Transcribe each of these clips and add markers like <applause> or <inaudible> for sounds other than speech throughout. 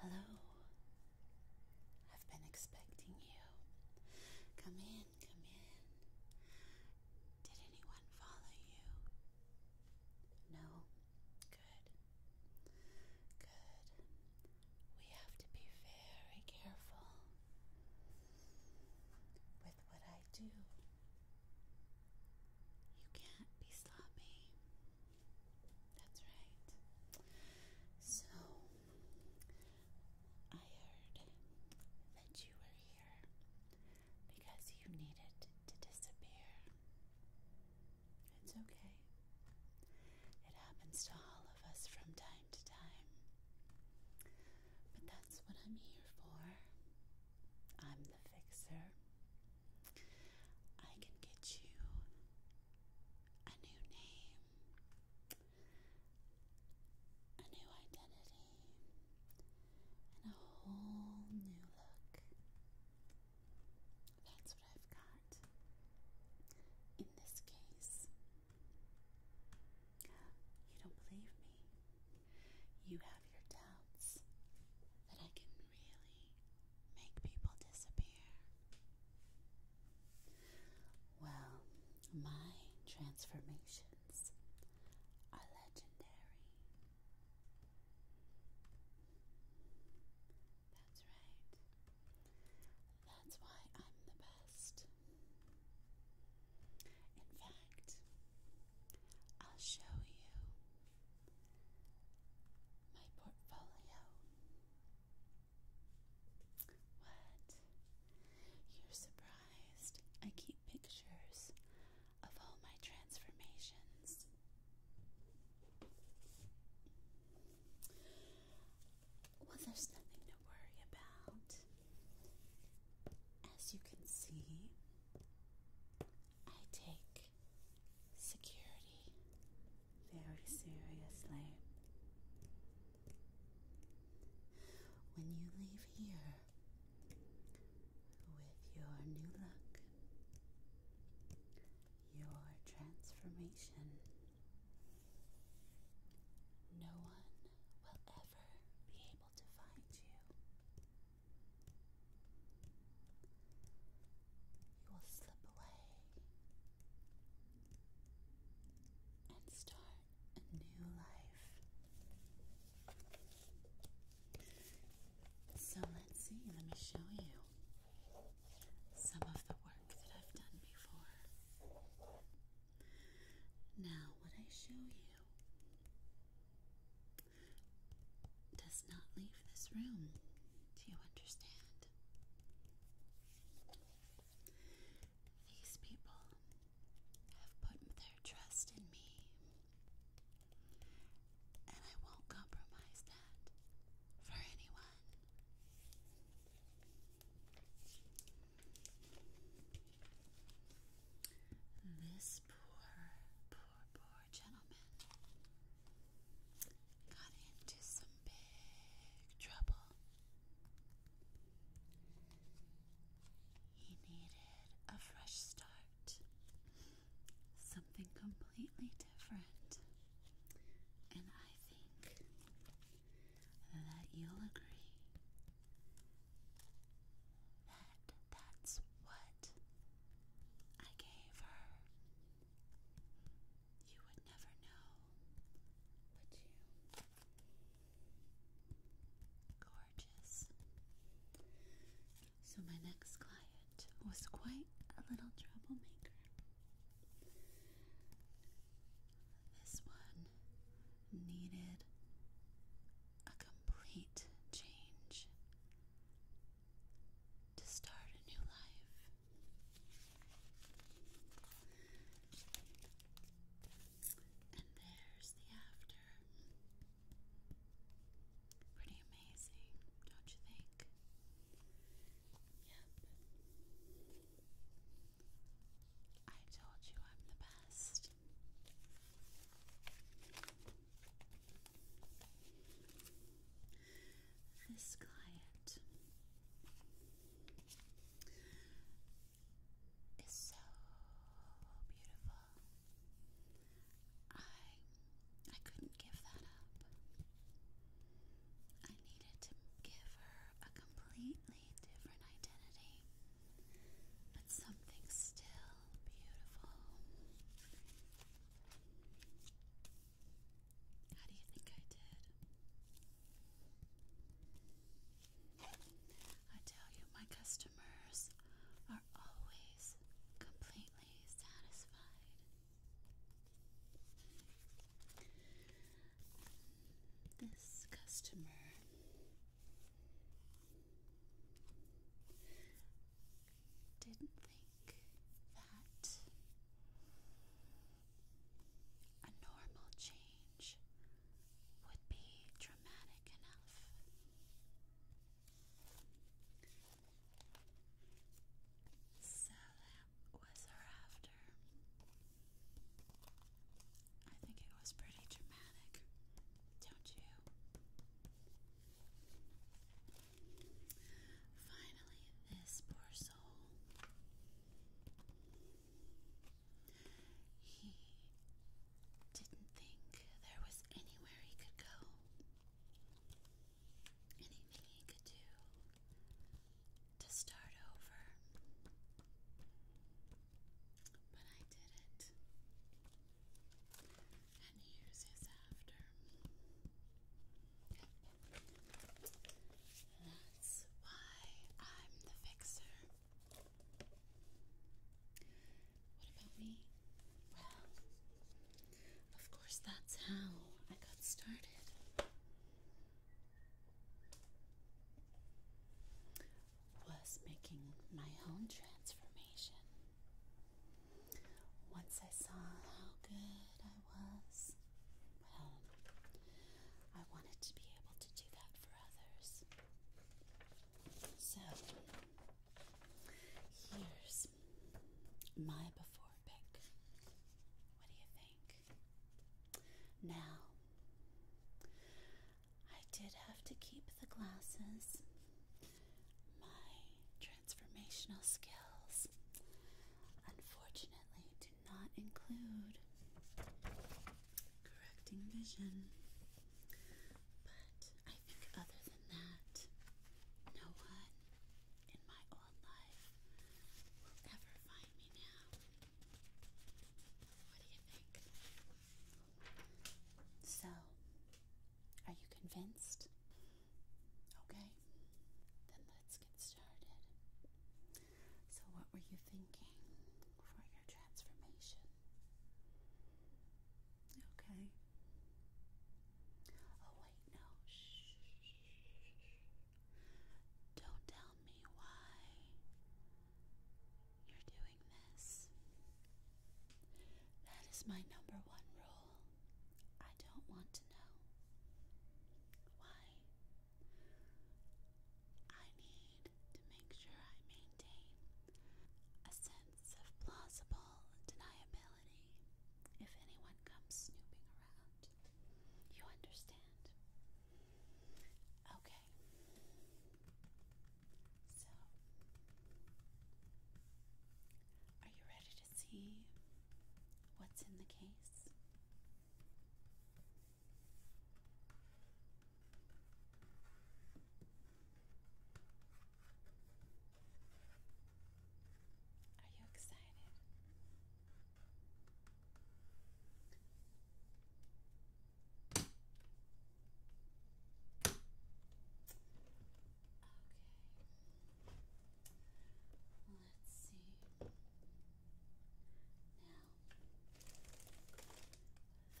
Hello. I've been expecting you. Come in, come in. Did anyone follow you? No? Good. Good. We have to be very careful with what I do. You can't be sloppy. That's right. So, I heard that you were here because you needed to disappear. It's okay. It happens to all of us from time but that's what I'm here for. I'm the fixer. I can get you a new name, a new identity, and a whole new look. That's what I've got. In this case, you don't believe me. You have your doubts that I can really make people disappear. Well, my transformations are legendary. That's right. That's why I'm the best. In fact, I'll show you my portfolio. What? You're surprised. I keep pictures of all my transformations. Well, there's nothing to worry about. As you can see, I take security very seriously. When you leave here with your new look, your transformation, no one will ever be able to find you. You will slip away and start a new life. So let's see, let me show you some of the work that I've done before. Now, what I show you does not leave this room. Do you understand? These people have put their trust in me, and I won't compromise that for anyone. This poor, poor, poor gentleman got into some big trouble. He needed a fresh start, something completely different. And I think that you'll agree that that's what I gave her. You would never know, would you? Gorgeous. So, my next client was quite a little troublemaker. This one needed a complete change to start a new life. And there's the after. Pretty amazing, don't you think? Yep. I told you I'm the best. This client is so beautiful. I I couldn't give that up. I needed to give her a completely different identity, but something still beautiful. How do you think I did? I tell you, my customers are always completely satisfied this customer didn't think that a normal change would be dramatic enough. So was thereafter. I think it was pretty dramatic, don't you? Finally, this poor soul. He didn't think there was anywhere he could go, anything he could do to start over, but I did it. And here's his after. That's why I'm the fixer. What about me? Well, of course, that's how I got started was making my own transformation. Once I saw how good I was, well, I wanted to be able to do that for others. So, here's my before pick. What do you think? Now, I did have to keep the glasses. My transformational skills, unfortunately, do not include correcting vision. But I think, other than that, no one in my old life will ever find me now. What do you think? So, are you convinced? Okay, then let's get started. So, what were you thinking for your transformation? Okay. Oh, wait, no. Shh. Don't tell me why you're doing this. That is my number one rule. I don't want to know why. I need to make sure I maintain a sense of plausible deniability if anyone comes snooping around. You understand? Okay. So, are you ready to see what's in the case? Are you excited? Okay.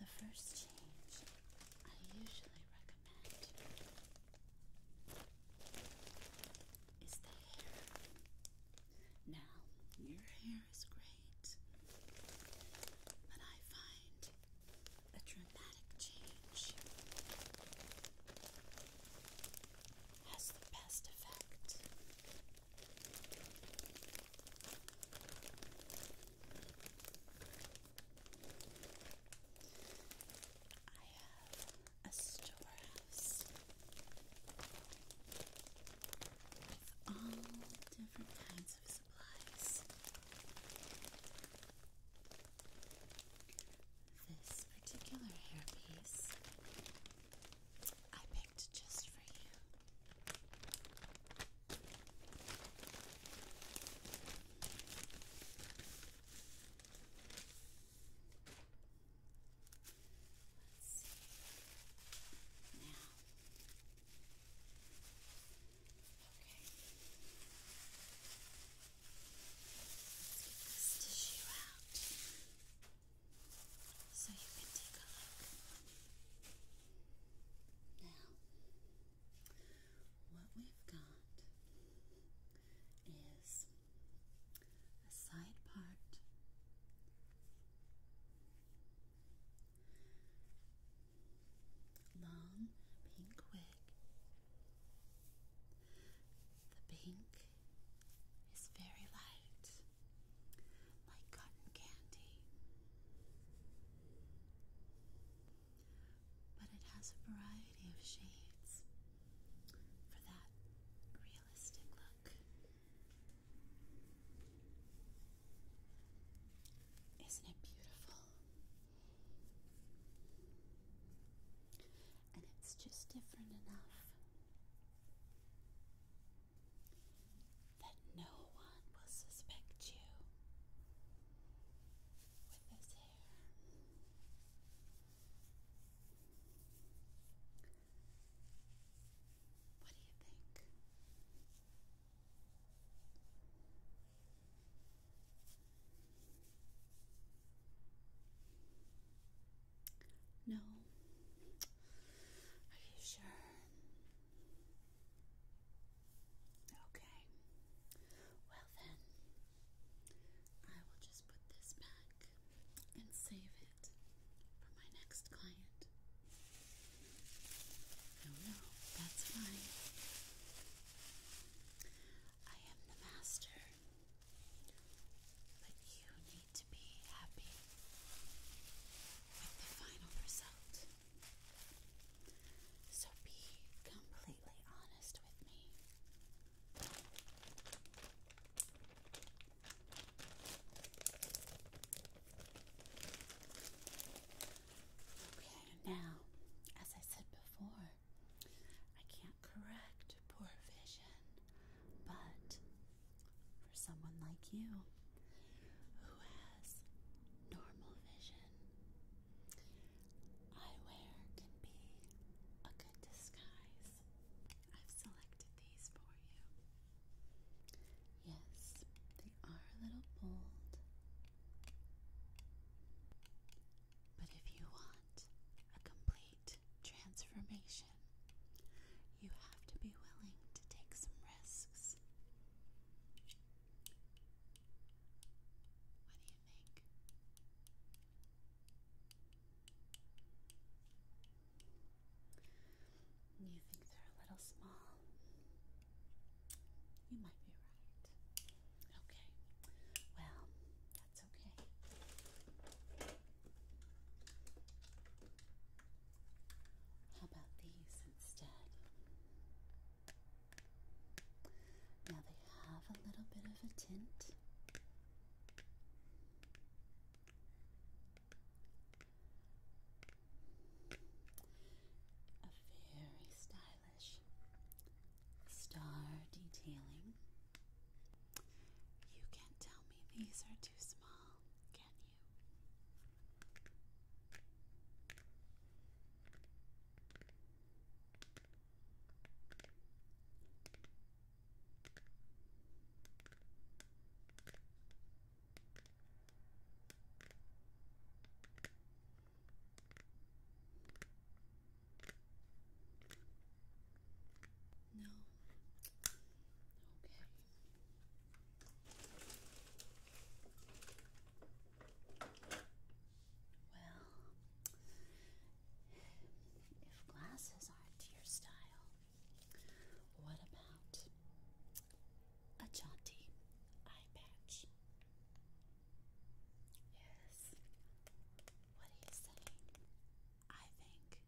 Let's see. Now, the first change I usually recommend is the hair. Now, your hair is great, but I find a dramatic change has the best effect. I have a storehouse with all different kinds of supplies. This particular hairpiece I picked just for you let Now. Okay. Let's tissue out so you can take a look. Now, what we've got is a side part long pink wig. The pink is very light, like cotton candy, but it has a variety of shades for that realistic look. Isn't it beautiful? And it's just different enough that no one will suspect you with this hair. What do you think? No. Are you sure? Okay. Well, then, I will just put this back and save it for my next client. No, no, that's fine. I am the master, but you need to be happy with the final result. So be completely honest with me. Okay, now, as I said before, I can't correct poor vision, but for someone like you who has normal vision, Eyewear can be a good disguise. I've selected these for you. Yes, they are a little bold. But if you want a complete transformation, you have to be willing to take some risks you think? they're a little small? You might be right. Okay. Well, that's okay. How about these instead? Now they have a little bit of a tint. A very stylish star detailing. You can't tell me these are too small, can you? No. Okay. Well, if glasses aren't your style, what about a jaunty eye patch? Yes. What do you say? I think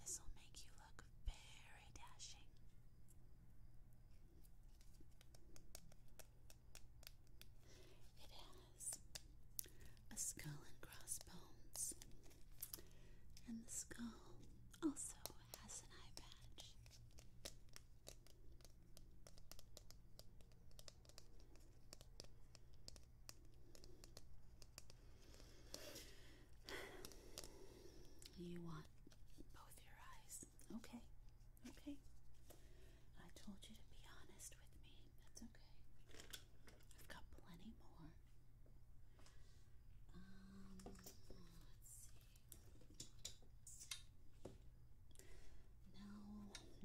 this will make you look very dashing. It has a skull and crossbones, and the skull also has an eye patch. You want both your eyes. Okay. Okay. I told you to be honest with me. That's okay. i got plenty more. Um, let's see. No,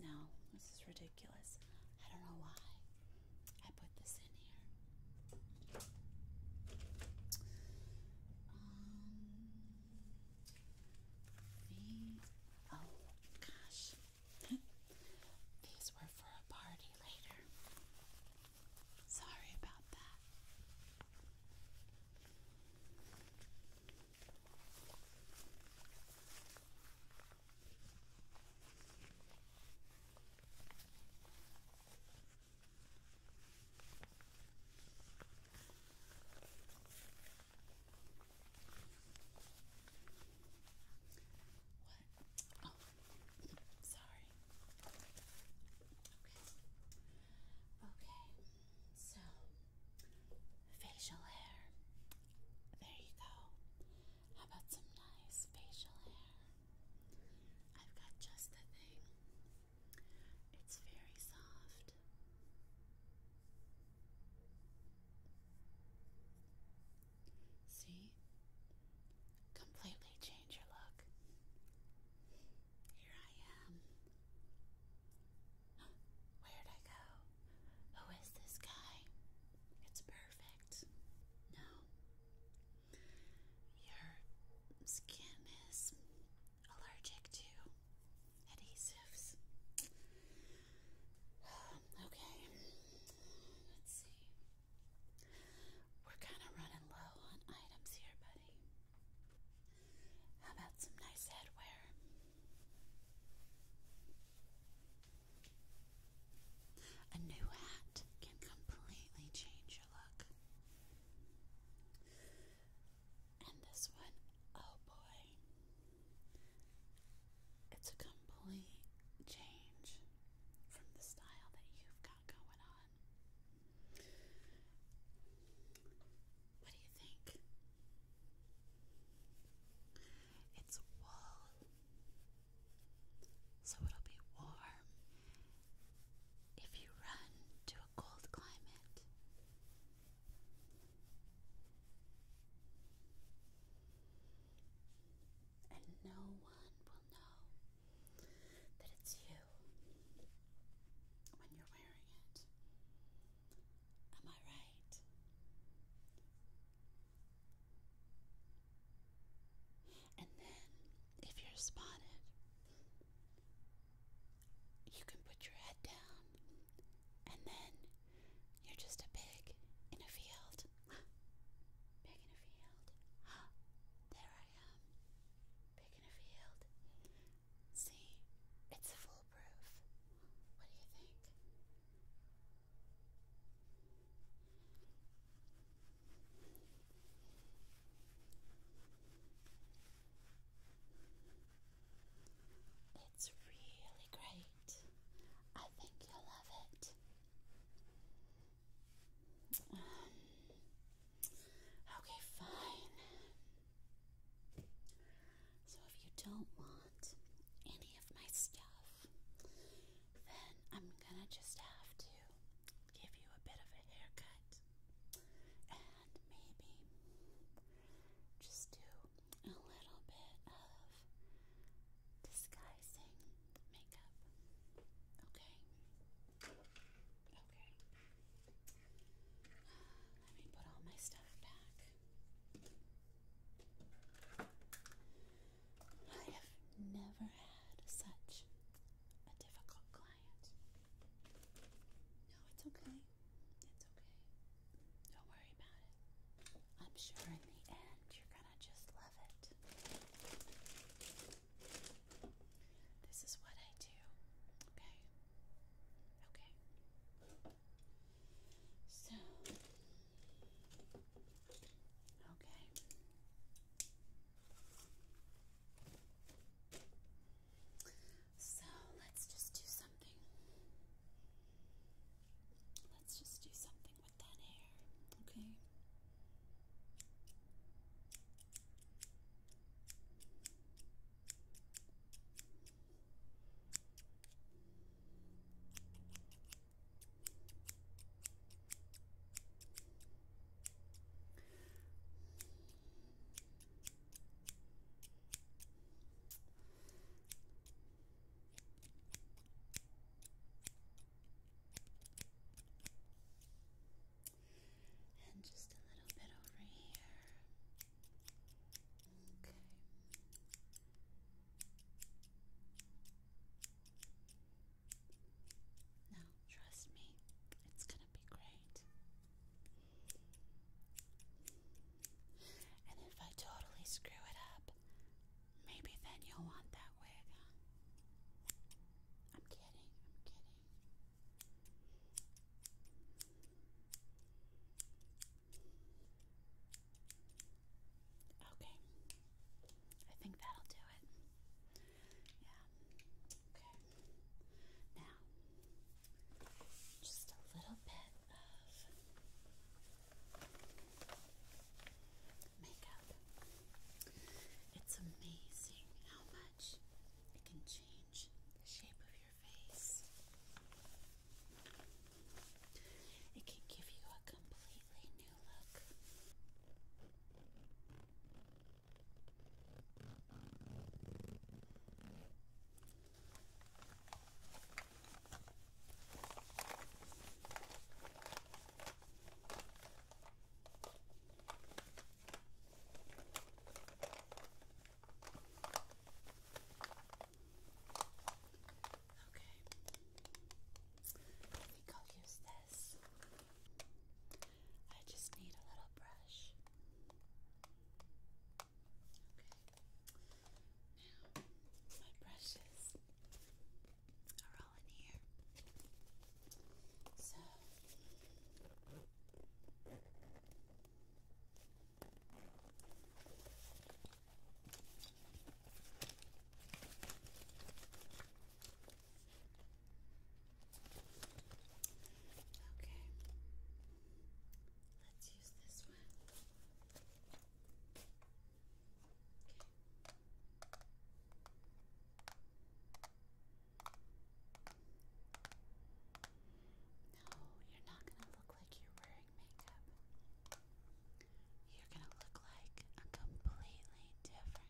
no, this is ridiculous. I don't know why I put this in here. Um, the, oh gosh, <laughs> These were for a party later. Sorry about that. What? Oh, sorry. Okay. Okay. So, facial hair. There you go. How about some nice facial hair? I've got just the thing. It's very soft See? Completely change your look. Here I am. <gasps> Where'd I go? Who is this guy? It's perfect. No. Your skin is allergic to adhesives. <sighs> Okay, let's see. We're kind of running low on items here, buddy. How about some nice headwear? A new hat can completely change your look. And this one, oh boy, it's a complete change from the style that you've got going on. What do you think? It's wool, so it'll be warm if you run to a cold climate. And no one will know that it's you when you're wearing it. Am I right? And then, if you're spotted, you can put your head down and then you're just a pig in a field. <gasps> pig in a field. <gasps> there I am. Pig in a field. See, it's foolproof. What do you think? It's really great. I think you'll love it. Um, okay, fine. So, if you don't want any of my stuff, then I'm gonna just have to give you a bit of a haircut and maybe just do a little bit of disguising makeup. Okay. Okay. Let me put all my stuff back. I have never had such a difficult client. No, it's okay. It's okay. Don't worry about it. I'm sure in the end you're gonna just love it. This is what I do. Okay. Okay. So, okay. So let's just do something. Let's just do something with that hair, okay? And just a little bit over here. Okay. Now, trust me, it's gonna be great. And if I totally screw it up, maybe then you'll want that wig. I'm kidding, I'm kidding. Okay, I think that'll do it. Yeah, okay. Now just a little bit of makeup. It's amazing how much it can change the shape of your face. It can give you a completely new look. Okay. I think i use this. I just need a little brush. Now, my brushes are all in here. So, okay. Let's use this one. No, you're not going to look like you're wearing makeup. You're going to look like a completely different person. Okay.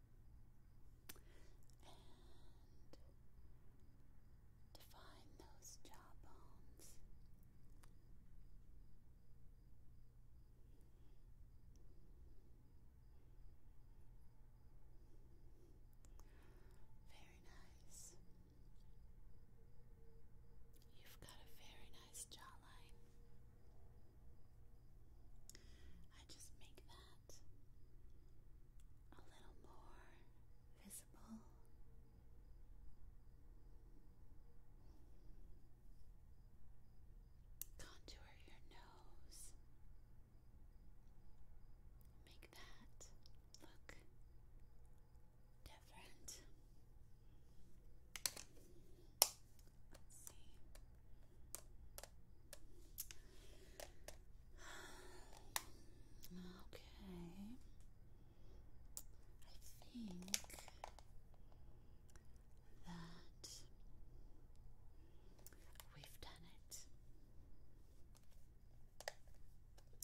and define those jawbones. Very nice. You've got a very nice jawline. I just make that a little more visible. Contour your nose. Make that look different let Okay. I think that we've done it.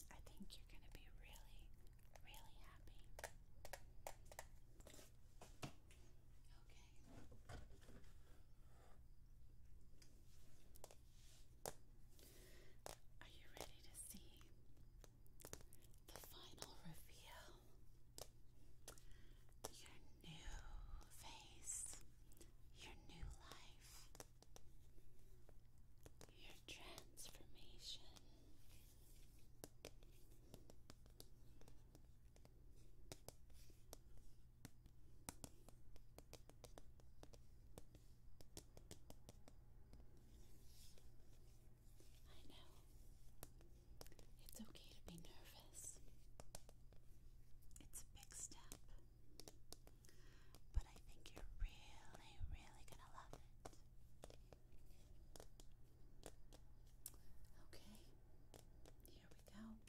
I think you're going to be really, really happy. Okay. Are you ready to see the final reveal? Your new face, your new life, your transformation. I know. It's okay to be nervous. It's a big step. But I think you're really, really gonna love it. Okay, here we go. What do you think?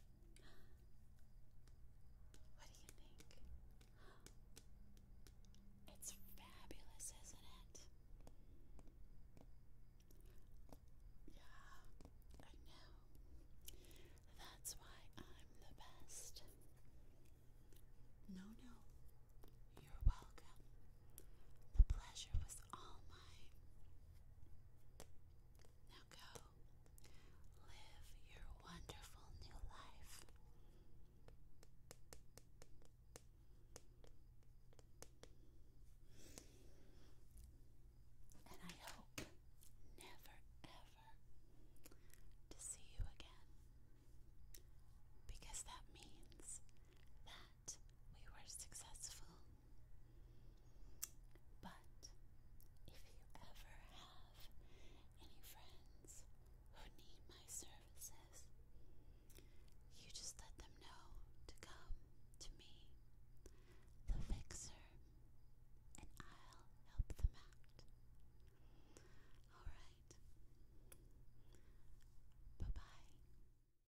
It's fabulous, isn't it? Yeah, I know. That's why I'm the best. No, no. You're welcome. The pleasure was all mine. Now go, live your wonderful new life. And I hope never ever to see you again because that means that we were successful but if you ever have any friends who need my services, you just let them know to come to me, the fixer, and I'll help them out. Alright. Bye bye.